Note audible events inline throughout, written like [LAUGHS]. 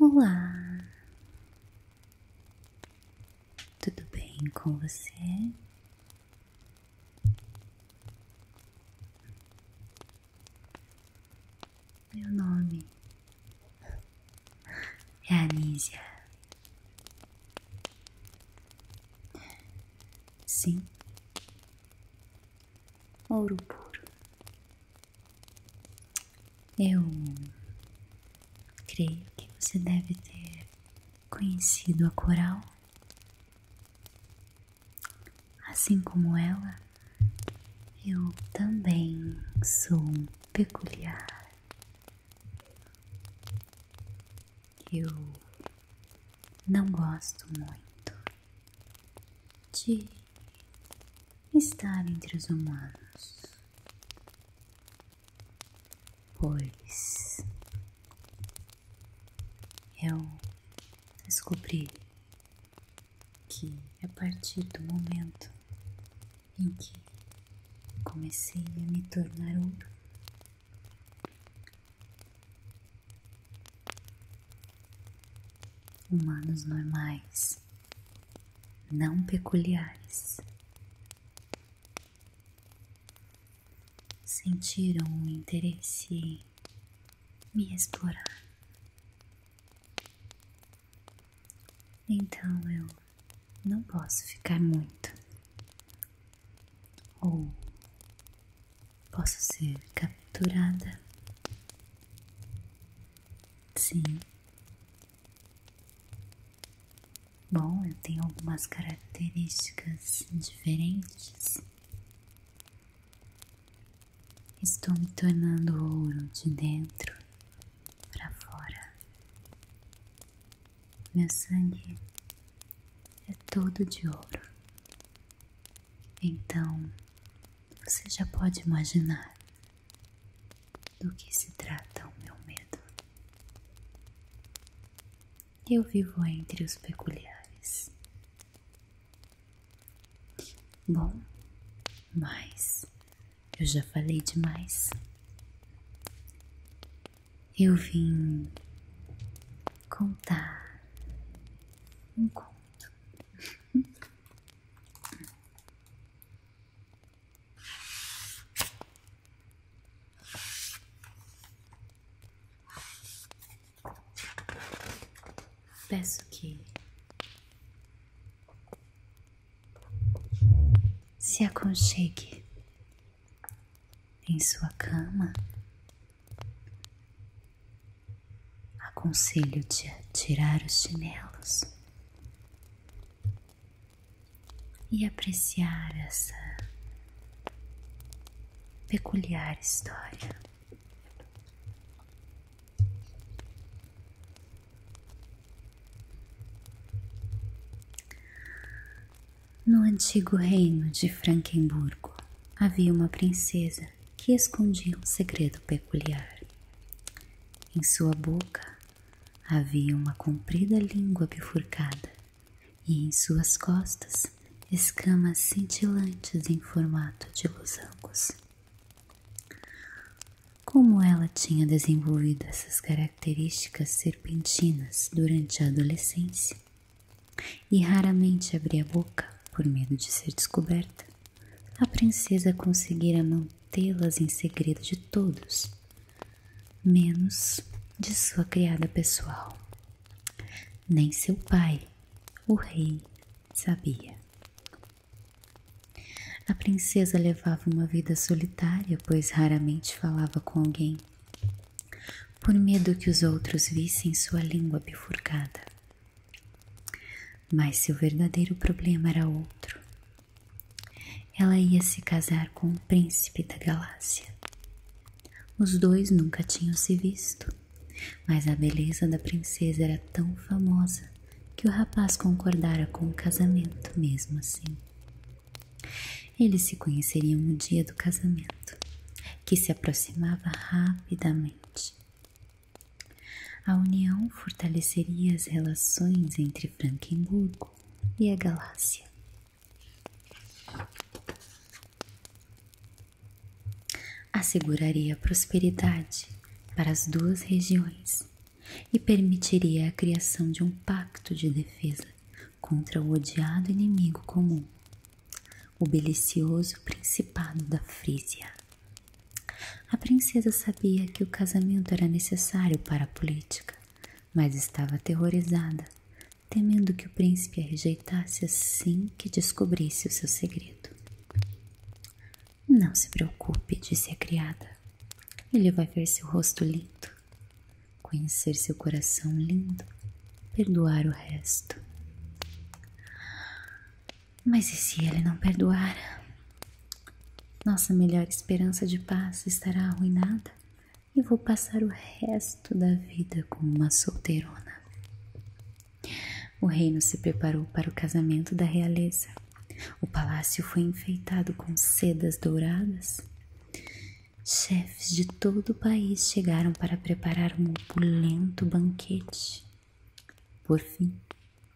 Olá, tudo bem com você? Meu nome é Anísia. Sim, ouro puro. Eu creio que você deve ter conhecido a coral. Assim como ela, eu também sou peculiar. Eu não gosto muito de estar entre os humanos, pois eu descobri que a partir do momento em que comecei a me tornar ouro. Humanos normais, não peculiares, sentiram o interesse em me explorar então eu não posso ficar muito. Ou posso ser capturada. Sim. Bom, eu tenho algumas características diferentes. Estou me tornando ouro de dentro para fora. Meu sangue é todo de ouro. Então, você já pode imaginar do que se trata o meu medo. Eu vivo entre os peculiares. Bom, mas eu já falei demais. Eu vim contar um conto. [LAUGHS] Peço que se aconchegue em sua cama. Aconselho-te a tirar os chinelos e apreciar essa peculiar história no antigo reino de Franquemburgo havia uma princesa que escondia um segredo peculiar. Em sua boca havia uma comprida língua bifurcada e em suas costas escamas cintilantes em formato de losangos. Como ela tinha desenvolvido essas características serpentinas durante a adolescência e raramente abria a boca por medo de ser descoberta, a princesa conseguira mantê-las em segredo de todos, menos de sua criada pessoal. Nem seu pai, o rei, sabia. A princesa levava uma vida solitária, pois raramente falava com alguém, por medo que os outros vissem sua língua bifurcada. Mas seu verdadeiro problema era outro. Ela ia se casar com o príncipe da galáxia. Os dois nunca tinham se visto, mas a beleza da princesa era tão famosa que o rapaz concordara com o casamento mesmo assim. Eles se conheceriam no dia do casamento, que se aproximava rapidamente. A união fortaleceria as relações entre Frankenburgo e a Galácia. Asseguraria prosperidade para as duas regiões e permitiria a criação de um pacto de defesa contra o odiado inimigo comum, o belicioso Principado da Frísia. A princesa sabia que o casamento era necessário para a política, mas estava aterrorizada, temendo que o príncipe a rejeitasse assim que descobrisse o seu segredo. Não se preocupe, disse a criada ele vai ver seu rosto lindo, conhecer seu coração lindo, perdoar o resto. Mas e se ele não perdoar? Nossa melhor esperança de paz estará arruinada e vou passar o resto da vida como uma solteirona. O reino se preparou para o casamento da realeza. O palácio foi enfeitado com sedas douradas. Chefes de todo o país chegaram para preparar um opulento banquete. Por fim,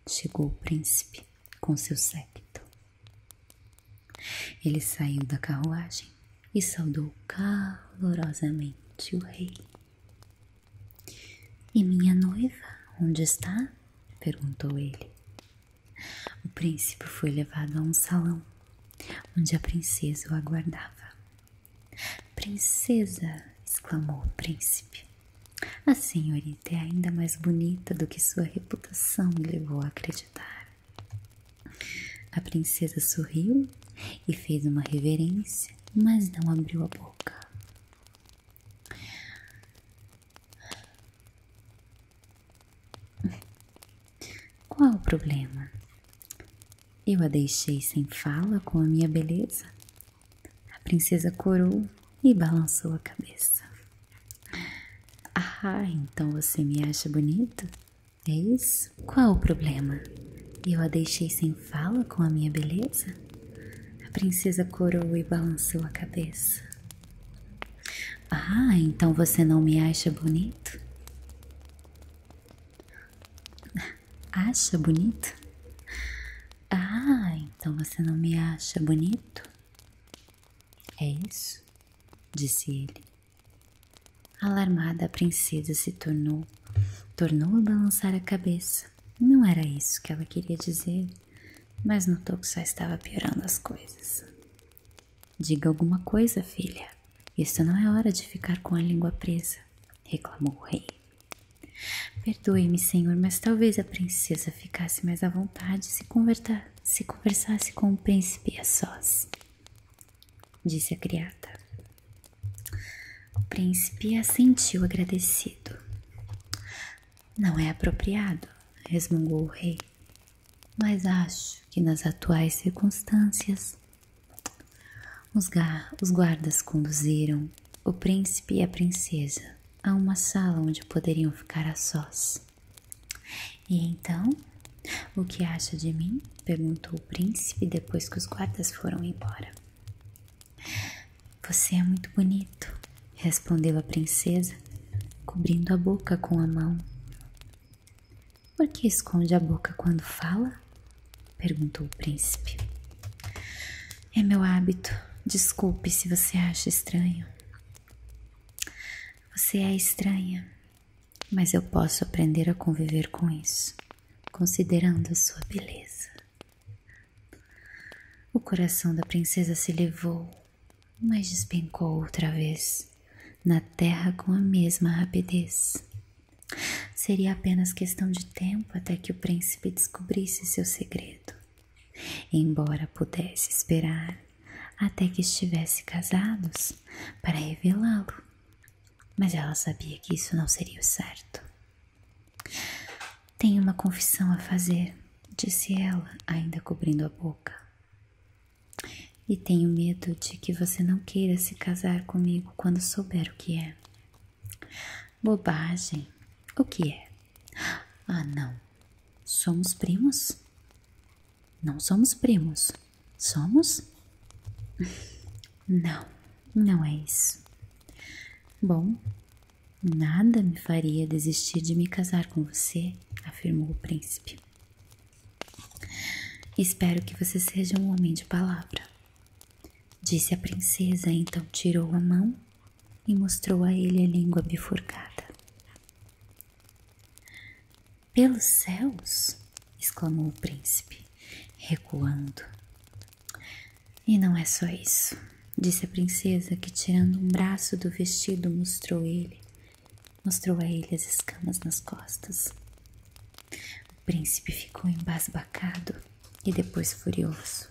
chegou o príncipe com seu séquito. Ele saiu da carruagem e saudou calorosamente o rei. E minha noiva, onde está? perguntou ele. O príncipe foi levado a um salão onde a princesa o aguardava. Princesa! exclamou o príncipe. A senhorita é ainda mais bonita do que sua reputação me levou a acreditar. A princesa sorriu e fez uma reverência, mas não abriu a boca. Qual o problema? Eu a deixei sem fala com a minha beleza? A princesa corou e balançou a cabeça. Ah, então você me acha bonito? É isso? Qual o problema? Eu a deixei sem fala com a minha beleza? A princesa corou e balançou a cabeça. Ah, então você não me acha bonito? Acha bonito? Ah, então você não me acha bonito? É isso? disse ele. Alarmada, a princesa se tornou, tornou a balançar a cabeça. Não era isso que ela queria dizer, mas notou que só estava piorando as coisas. Diga alguma coisa, filha. Isso não é hora de ficar com a língua presa, reclamou o rei. Perdoe-me, senhor, mas talvez a princesa ficasse mais à vontade se, se conversasse com o príncipe a sós, disse a criada. O príncipe assentiu agradecido. Não é apropriado, resmungou o rei, mas acho que nas atuais circunstâncias. Os, os guardas conduziram o príncipe e a princesa a uma sala onde poderiam ficar a sós. E então, o que acha de mim? perguntou o príncipe depois que os guardas foram embora. Você é muito bonito, respondeu a princesa, cobrindo a boca com a mão. Por que esconde a boca quando fala? perguntou o príncipe. É meu hábito. Desculpe se você acha estranho. Você é estranha, mas eu posso aprender a conviver com isso, considerando a sua beleza. O coração da princesa se levou, mas despencou outra vez na terra com a mesma rapidez. Seria apenas questão de tempo até que o príncipe descobrisse seu segredo, embora pudesse esperar até que estivessem casados para revelá-lo. Mas ela sabia que isso não seria o certo. Tenho uma confissão a fazer, disse ela, ainda cobrindo a boca. E tenho medo de que você não queira se casar comigo quando souber o que é. Bobagem. O que é? Ah, não. Somos primos? Não somos primos. Somos? [LAUGHS] Não, não é isso. Bom, Nada me faria desistir de me casar com você, afirmou o príncipe. Espero que você seja um homem de palavra. Disse a princesa, então tirou a mão e mostrou a ele a língua bifurcada. Pelos céus! exclamou o príncipe, recuando. E não é só isso, disse a princesa, que tirando um braço do vestido mostrou ele, mostrou a ele as escamas nas costas. O príncipe ficou embasbacado e depois furioso.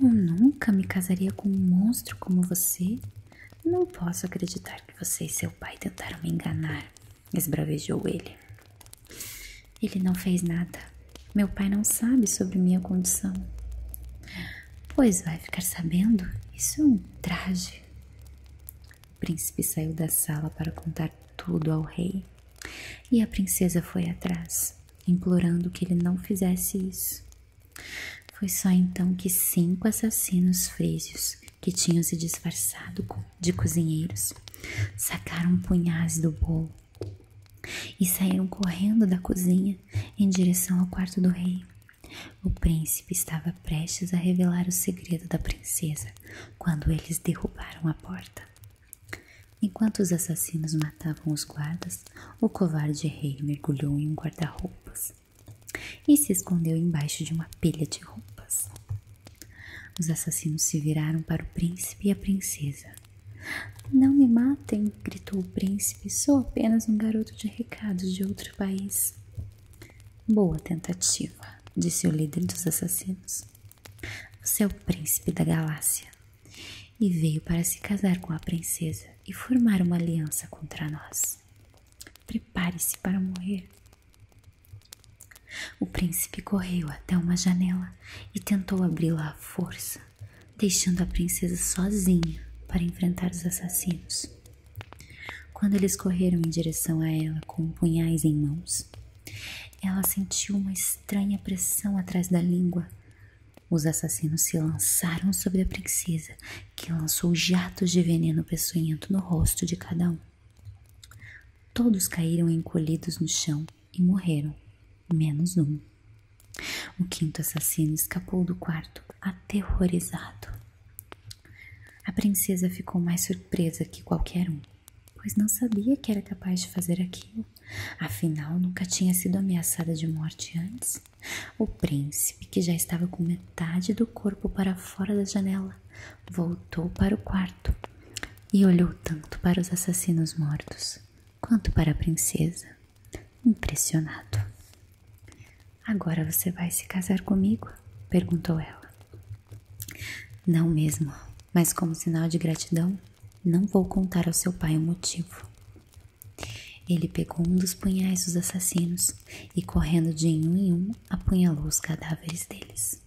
Eu nunca me casaria com um monstro como você. Não posso acreditar que você e seu pai tentaram me enganar, esbravejou ele. Ele não fez nada. Meu pai não sabe sobre minha condição. Pois vai ficar sabendo? Isso é um traje. O príncipe saiu da sala para contar tudo ao rei. E a princesa foi atrás, implorando que ele não fizesse isso. Foi só então que cinco assassinos frígios, que tinham se disfarçado de cozinheiros, sacaram punhais do bolo e saíram correndo da cozinha em direção ao quarto do rei. O príncipe estava prestes a revelar o segredo da princesa quando eles derrubaram a porta. Enquanto os assassinos matavam os guardas, o covarde rei mergulhou em um guarda-roupas e se escondeu embaixo de uma pilha de roupas. Os assassinos se viraram para o príncipe e a princesa não me matem, gritou o príncipe. Sou apenas um garoto de recados de outro país. Boa tentativa, disse o líder dos assassinos. Você é o príncipe da galáxia e veio para se casar com a princesa e formar uma aliança contra nós. Prepare-se para morrer. O príncipe correu até uma janela e tentou abri-la à força deixando a princesa sozinha para enfrentar os assassinos. Quando eles correram em direção a ela com punhais em mãos, ela sentiu uma estranha pressão atrás da língua. Os assassinos se lançaram sobre a princesa, que lançou jatos de veneno peçonhento no rosto de cada um. Todos caíram encolhidos no chão, e morreram, menos um. O quinto assassino escapou do quarto, aterrorizado. A princesa ficou mais surpresa que qualquer um, pois não sabia que era capaz de fazer aquilo. Afinal, nunca tinha sido ameaçada de morte antes. O príncipe, que já estava com metade do corpo para fora da janela, voltou para o quarto e olhou tanto para os assassinos mortos quanto para a princesa, impressionado. Agora você vai se casar comigo? perguntou ela. Não mesmo, mas como sinal de gratidão, não vou contar ao seu pai o motivo. Ele pegou um dos punhais dos assassinos e, correndo de um em um, apunhalou os cadáveres deles.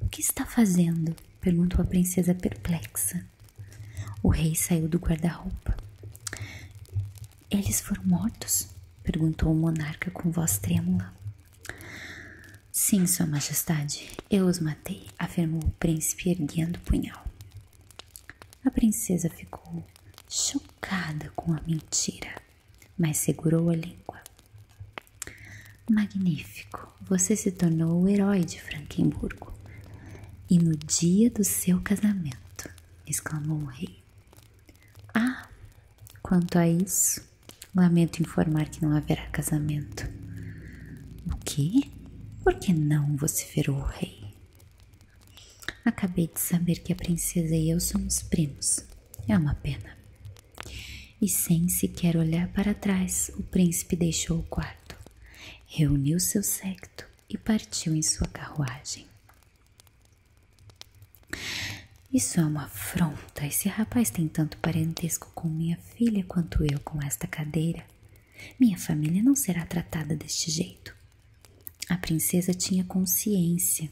O que está fazendo? perguntou a princesa perplexa. O rei saiu do guarda-roupa. Eles foram mortos? perguntou o monarca com voz trêmula. Sim, Sua Majestade, eu os matei, afirmou o príncipe erguendo o punhal. A princesa ficou chocada com a mentira, mas segurou a língua. Magnífico, você se tornou o herói de Frankenburgo. E no dia do seu casamento, exclamou o rei. Ah, quanto a isso, lamento informar que não haverá casamento. O quê? Por que não? vociferou o rei. Acabei de saber que a princesa e eu somos primos. É uma pena. E sem sequer olhar para trás, o príncipe deixou o quarto reuniu seu séquito e partiu em sua carruagem. Isso é uma afronta. Esse rapaz tem tanto parentesco com minha filha quanto eu com esta cadeira. Minha família não será tratada deste jeito. A princesa tinha consciência.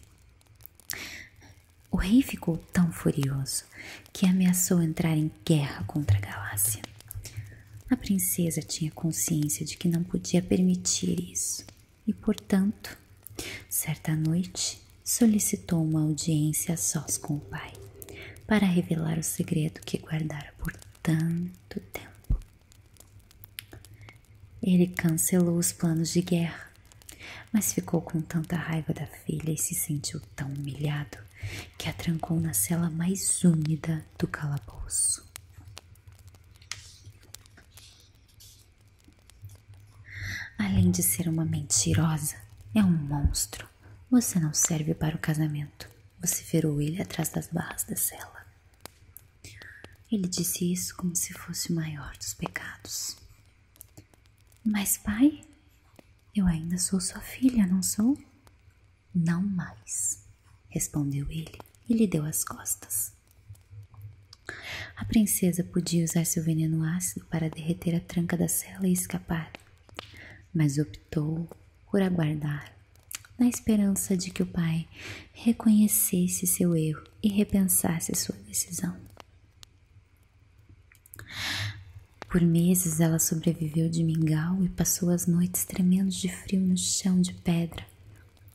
O rei ficou tão furioso que ameaçou entrar em guerra contra a galáxia. A princesa tinha consciência de que não podia permitir isso e, portanto, certa noite solicitou uma audiência a sós com o pai para revelar o segredo que guardara por tanto tempo. Ele cancelou os planos de guerra, mas ficou com tanta raiva da filha e se sentiu tão humilhado que a trancou na cela mais úmida do calabouço. Além de ser uma mentirosa, é um monstro. Você não serve para o casamento, Você vociferou ele atrás das barras da cela. Ele disse isso como se fosse o maior dos pecados. Mas, pai, eu ainda sou sua filha, não sou? Não mais, respondeu ele e lhe deu as costas. A princesa podia usar seu veneno ácido para derreter a tranca da cela e escapar, mas optou por aguardar, na esperança de que o pai reconhecesse seu erro e repensasse sua decisão. Por meses ela sobreviveu de mingau e passou as noites tremendo de frio no chão de pedra,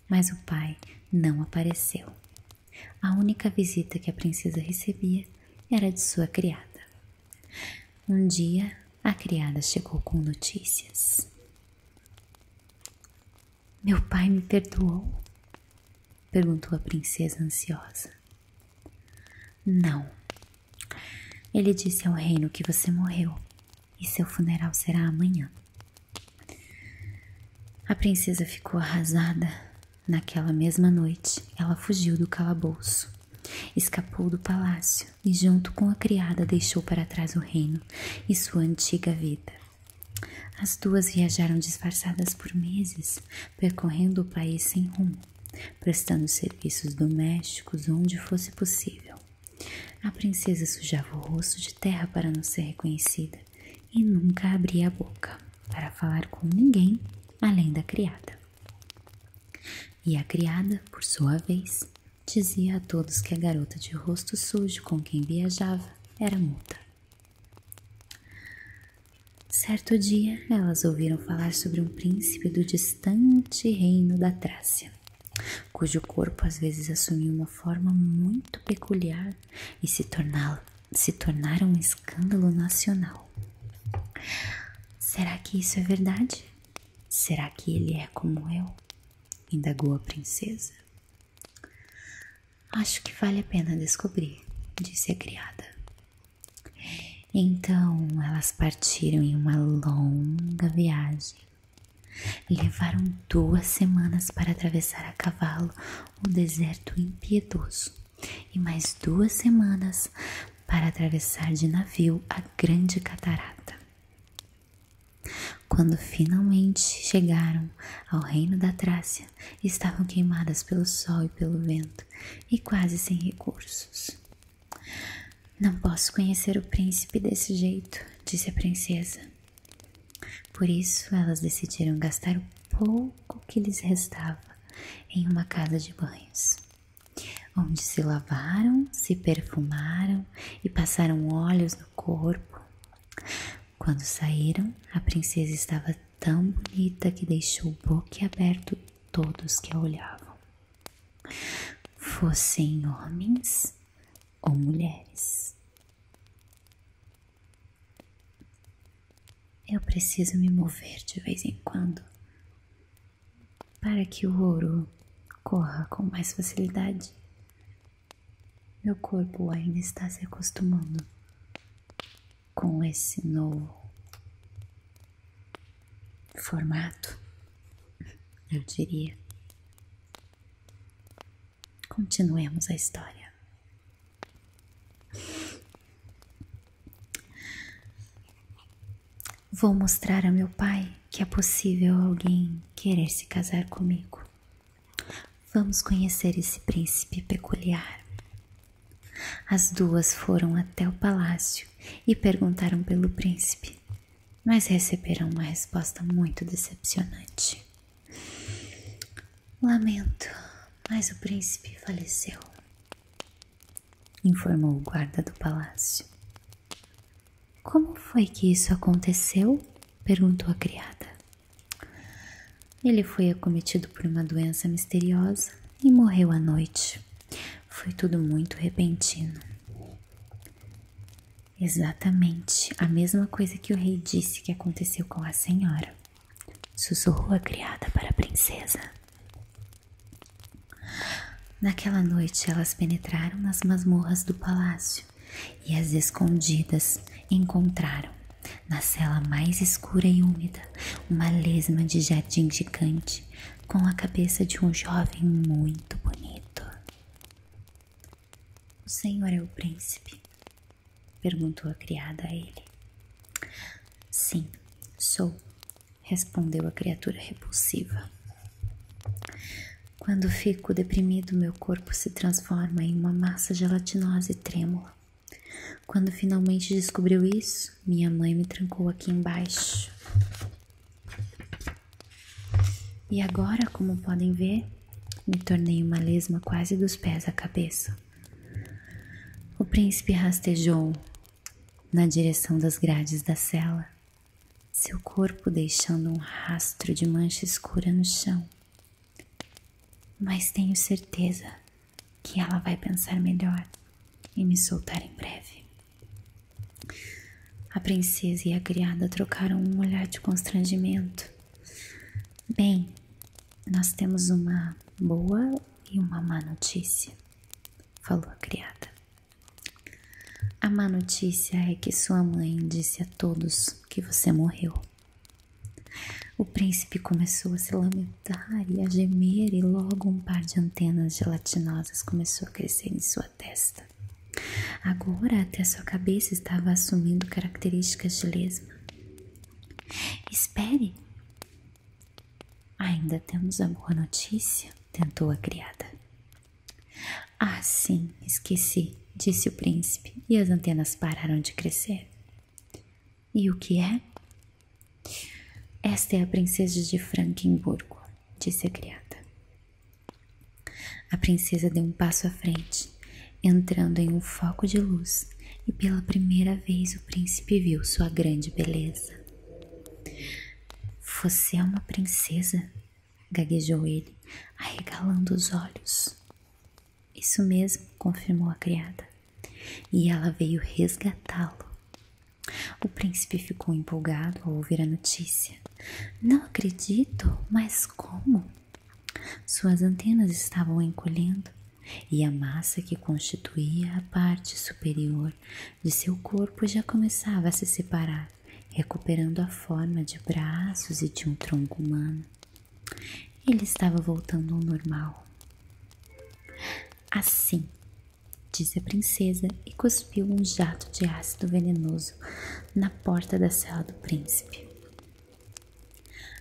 mas o pai não apareceu. A única visita que a princesa recebia era de sua criada. Um dia, a criada chegou com notícias. Meu pai me perdoou? perguntou a princesa ansiosa. Não. Ele disse ao reino que você morreu e seu funeral será amanhã. A princesa ficou arrasada. Naquela mesma noite, ela fugiu do calabouço, escapou do palácio e, junto com a criada, deixou para trás o reino e sua antiga vida. As duas viajaram disfarçadas por meses, percorrendo o país sem rumo prestando serviços domésticos onde fosse possível. A princesa sujava o rosto de terra para não ser reconhecida e nunca abria a boca para falar com ninguém além da criada. E a criada, por sua vez, dizia a todos que a garota de rosto sujo com quem viajava era muda. Certo dia, elas ouviram falar sobre um príncipe do distante reino da Trácia, cujo corpo às vezes assumiu uma forma muito peculiar e se, tornar, se tornara um escândalo nacional. Será que isso é verdade? Será que ele é como eu? indagou a princesa. Acho que vale a pena descobrir, disse a criada. Então elas partiram em uma longa viagem. Levaram duas semanas para atravessar a cavalo o um deserto impiedoso e mais duas semanas para atravessar de navio a Grande Catarata. Quando finalmente chegaram ao reino da Trácia, estavam queimadas pelo sol e pelo vento e quase sem recursos. Não posso conhecer o príncipe desse jeito, disse a princesa. Por isso, elas decidiram gastar o pouco que lhes restava em uma casa de banhos, onde se lavaram, se perfumaram e passaram óleos no corpo. Quando saíram, a princesa estava tão bonita que deixou o boquiaberto todos que a olhavam fossem homens ou mulheres. Eu preciso me mover de vez em quando para que o ouro corra com mais facilidade. Meu corpo ainda está se acostumando com esse novo formato, eu diria. Continuemos a história. Vou mostrar a meu pai que é possível alguém querer se casar comigo. Vamos conhecer esse príncipe peculiar. As duas foram até o palácio e perguntaram pelo príncipe, mas receberam uma resposta muito decepcionante. Lamento, mas o príncipe faleceu, informou o guarda do palácio. Como foi que isso aconteceu? perguntou a criada. Ele foi acometido por uma doença misteriosa e morreu à noite. Foi tudo muito repentino. Exatamente a mesma coisa que o rei disse que aconteceu com a senhora, sussurrou a criada para a princesa. Naquela noite, elas penetraram nas masmorras do palácio e as escondidas encontraram, na cela mais escura e úmida, uma lesma de jardim gigante com a cabeça de um jovem muito bonito. O senhor é o príncipe? perguntou a criada a ele. Sim, sou, respondeu a criatura repulsiva. Quando fico deprimido, meu corpo se transforma em uma massa gelatinosa e trêmula. Quando finalmente descobriu isso, minha mãe me trancou aqui embaixo. E agora, como podem ver, me tornei uma lesma quase dos pés à cabeça. O príncipe rastejou na direção das grades da cela, seu corpo deixando um rastro de mancha escura no chão. Mas tenho certeza que ela vai pensar melhor e me soltar em breve. A princesa e a criada trocaram um olhar de constrangimento. Bem, nós temos uma boa e uma má notícia, falou a criada. A má notícia é que sua mãe disse a todos que você morreu. O príncipe começou a se lamentar e a gemer, e logo um par de antenas gelatinosas começou a crescer em sua testa. Agora até sua cabeça estava assumindo características de lesma. Espere! Ainda temos a boa notícia, tentou a criada. Ah, sim, esqueci, disse o príncipe, e as antenas pararam de crescer. E o que é? Esta é a princesa de Frankenburgo, disse a criada. A princesa deu um passo à frente, entrando em um foco de luz, e pela primeira vez o príncipe viu sua grande beleza. Você é uma princesa, gaguejou ele, arregalando os olhos. Isso mesmo, confirmou a criada. E ela veio resgatá-lo. O príncipe ficou empolgado ao ouvir a notícia. Não acredito, mas como? Suas antenas estavam encolhendo e a massa que constituía a parte superior de seu corpo já começava a se separar, recuperando a forma de braços e de um tronco humano. Ele estava voltando ao normal. Assim, disse a princesa e cuspiu um jato de ácido venenoso na porta da sala do príncipe.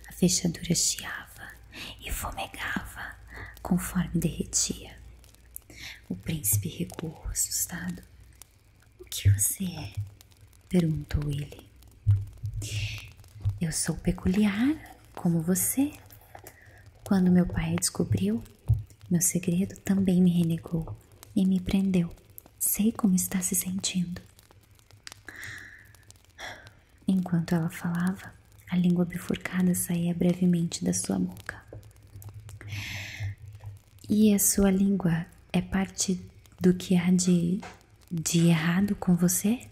A fechadura chiava e fumegava conforme derretia. O príncipe recuou assustado. O que você é? perguntou ele. Eu sou peculiar, como você, quando meu pai descobriu meu segredo, também me renegou e me prendeu. Sei como está se sentindo. Enquanto ela falava, a língua bifurcada saía brevemente da sua boca. E a sua língua é parte do que há de errado com você?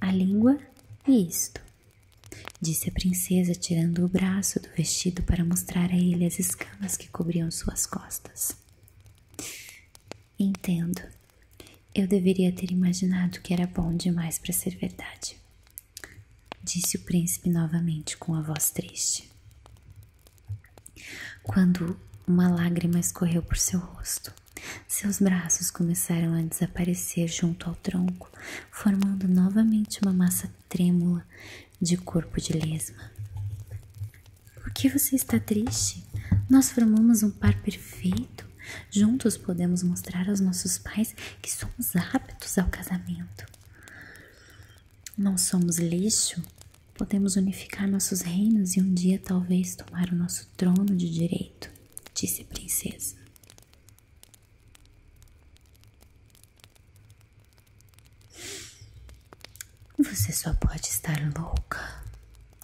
A língua e isto. Disse a princesa, tirando o braço do vestido para mostrar a ele as escamas que cobriam suas costas. Entendo. Eu deveria ter imaginado que era bom demais para ser verdade. Disse o príncipe novamente com a voz triste. Quando uma lágrima escorreu por seu rosto, seus braços começaram a desaparecer junto ao tronco formando novamente uma massa trêmula de corpo de lesma. Por que você está triste? Nós formamos um par perfeito. Juntos podemos mostrar aos nossos pais que somos aptos ao casamento. Não somos lixo, podemos unificar nossos reinos e um dia talvez tomar o nosso trono de direito, disse a princesa. Você só pode estar louca,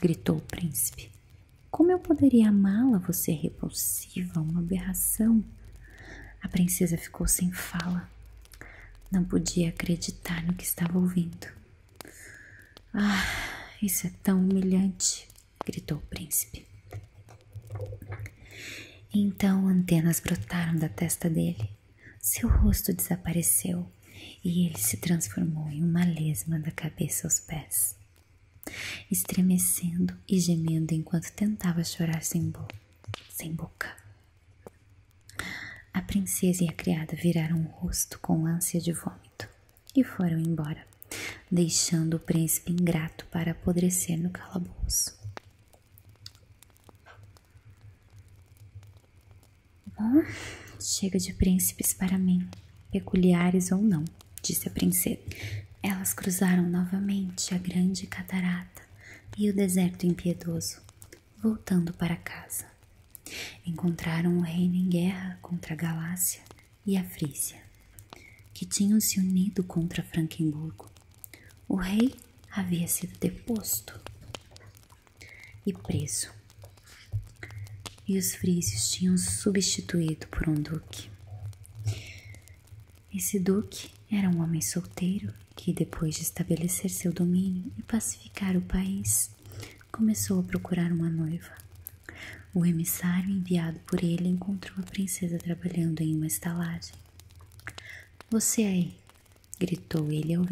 gritou o príncipe. Como eu poderia amá-la, você é repulsiva, uma aberração? A princesa ficou sem fala. Não podia acreditar no que estava ouvindo. Ah, isso é tão humilhante, gritou o príncipe. Então antenas brotaram da testa dele, seu rosto desapareceu e ele se transformou em uma lesma da cabeça aos pés, estremecendo e gemendo enquanto tentava chorar sem, bo sem boca. A princesa e a criada viraram o rosto com ânsia de vômito e foram embora deixando o príncipe ingrato para apodrecer no calabouço. Bom, chega de príncipes para mim, peculiares ou não, disse a princesa. Elas cruzaram novamente a grande catarata e o deserto impiedoso, voltando para casa. Encontraram o reino em guerra contra a galáxia e a Frícia, que tinham se unido contra Franquemburgo. O rei havia sido deposto e preso, e os frícios tinham substituído por um duque. Esse duque era um homem solteiro que, depois de estabelecer seu domínio e pacificar o país, começou a procurar uma noiva. O emissário enviado por ele encontrou a princesa trabalhando em uma estalagem. Você aí! gritou ele ao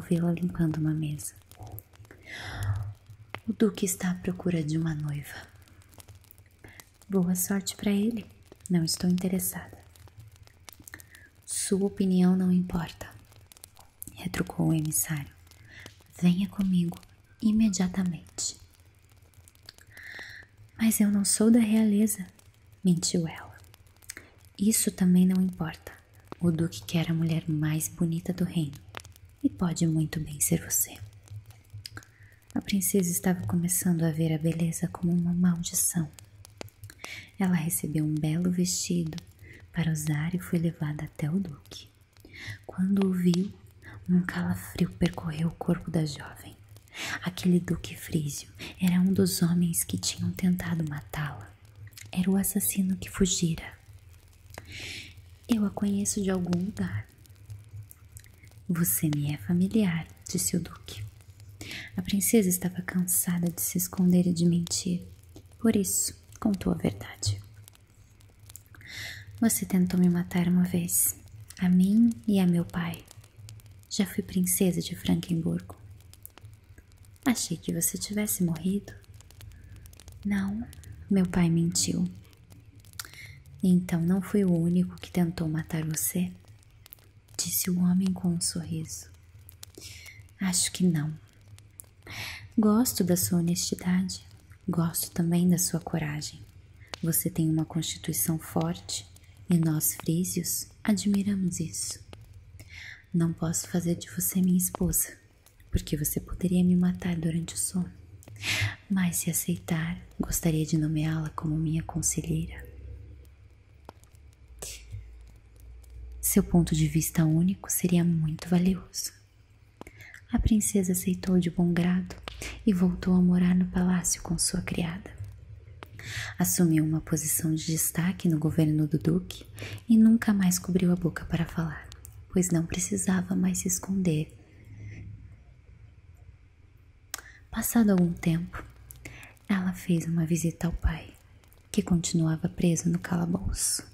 vê-la limpando uma mesa. O duque está à procura de uma noiva. Boa sorte para ele. Não estou interessada. Sua opinião não importa, retrucou o emissário. Venha comigo imediatamente. Mas eu não sou da realeza, mentiu ela. Isso também não importa. O Duque quer a mulher mais bonita do reino e pode muito bem ser você. A princesa estava começando a ver a beleza como uma maldição. Ela recebeu um belo vestido para usar e foi levada até o Duque. Quando o viu, um calafrio percorreu o corpo da jovem. Aquele duque frísio era um dos homens que tinham tentado matá-la. Era o assassino que fugira. Eu a conheço de algum lugar. Você me é familiar, disse o duque. A princesa estava cansada de se esconder e de mentir. Por isso, contou a verdade. Você tentou me matar uma vez, a mim e a meu pai. Já fui princesa de Frankenburgo. Achei que você tivesse morrido. Não, meu pai mentiu. Então não fui o único que tentou matar você? Disse o homem com um sorriso. Acho que não. Gosto da sua honestidade. Gosto também da sua coragem. Você tem uma constituição forte e nós frísios admiramos isso. Não posso fazer de você minha esposa, porque você poderia me matar durante o sono. Mas se aceitar, gostaria de nomeá-la como minha conselheira. Seu ponto de vista único seria muito valioso. A princesa aceitou de bom grado e voltou a morar no palácio com sua criada. Assumiu uma posição de destaque no governo do duque e nunca mais cobriu a boca para falar, pois não precisava mais se esconder. Passado algum tempo, ela fez uma visita ao pai, que continuava preso no calabouço.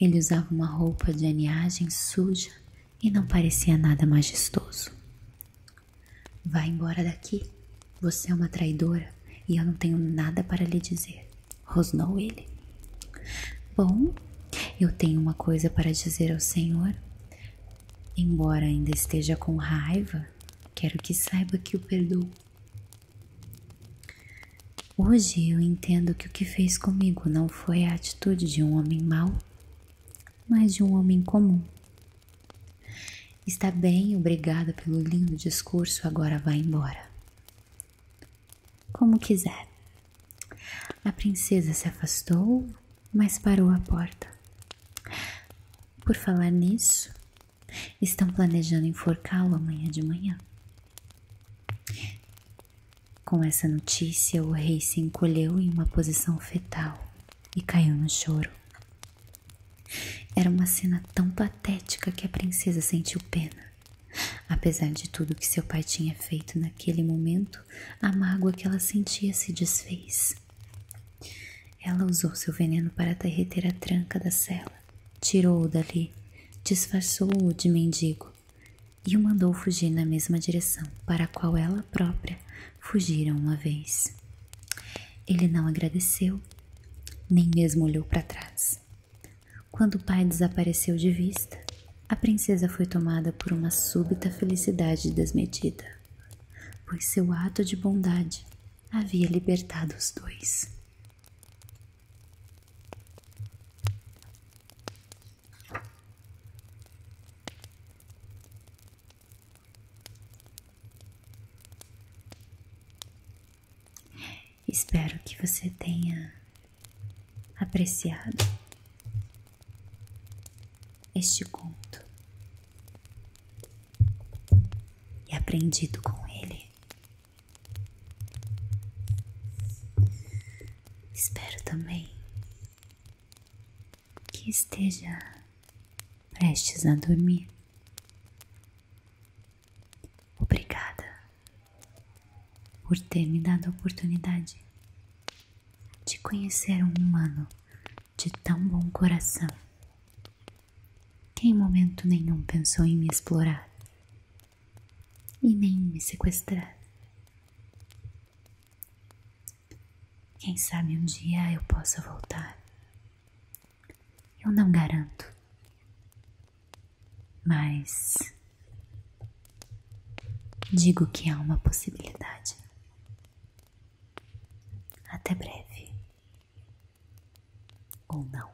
Ele usava uma roupa de aneagem suja e não parecia nada majestoso. Vá embora daqui. Você é uma traidora e eu não tenho nada para lhe dizer, rosnou ele. Bom, eu tenho uma coisa para dizer ao senhor. Embora ainda esteja com raiva, quero que saiba que o perdoo. Hoje eu entendo que o que fez comigo não foi a atitude atitude de um homem mau, mas de um homem comum. Está bem, obrigada pelo lindo discurso, agora vá embora. Como quiser. A princesa se afastou, mas parou à porta. Por falar nisso, estão planejando enforcá-lo amanhã de manhã. Com essa notícia, o rei se encolheu em uma posição fetal e caiu no choro. Era uma cena tão patética que a princesa sentiu pena. Apesar de tudo que seu pai tinha feito naquele momento, a mágoa que ela sentia se desfez. Ela usou seu veneno para derreter a tranca da cela, tirou-o dali, disfarçou-o de mendigo e o mandou fugir na mesma direção para a qual ela própria fugira uma vez. Ele não agradeceu, nem mesmo olhou para trás. Quando o pai desapareceu de vista, a princesa foi tomada por uma súbita felicidade desmedida, pois seu ato de bondade havia libertado os dois. Espero que você tenha apreciado este conto e aprendido com ele. Espero também que esteja prestes a dormir. Obrigada por ter me dado a oportunidade de conhecer um humano de tão bom coração que em momento nenhum pensou em me explorar e nem me sequestrar. Quem sabe um dia eu possa voltar. Eu não garanto, mas digo que há uma possibilidade. Até breve. Ou não.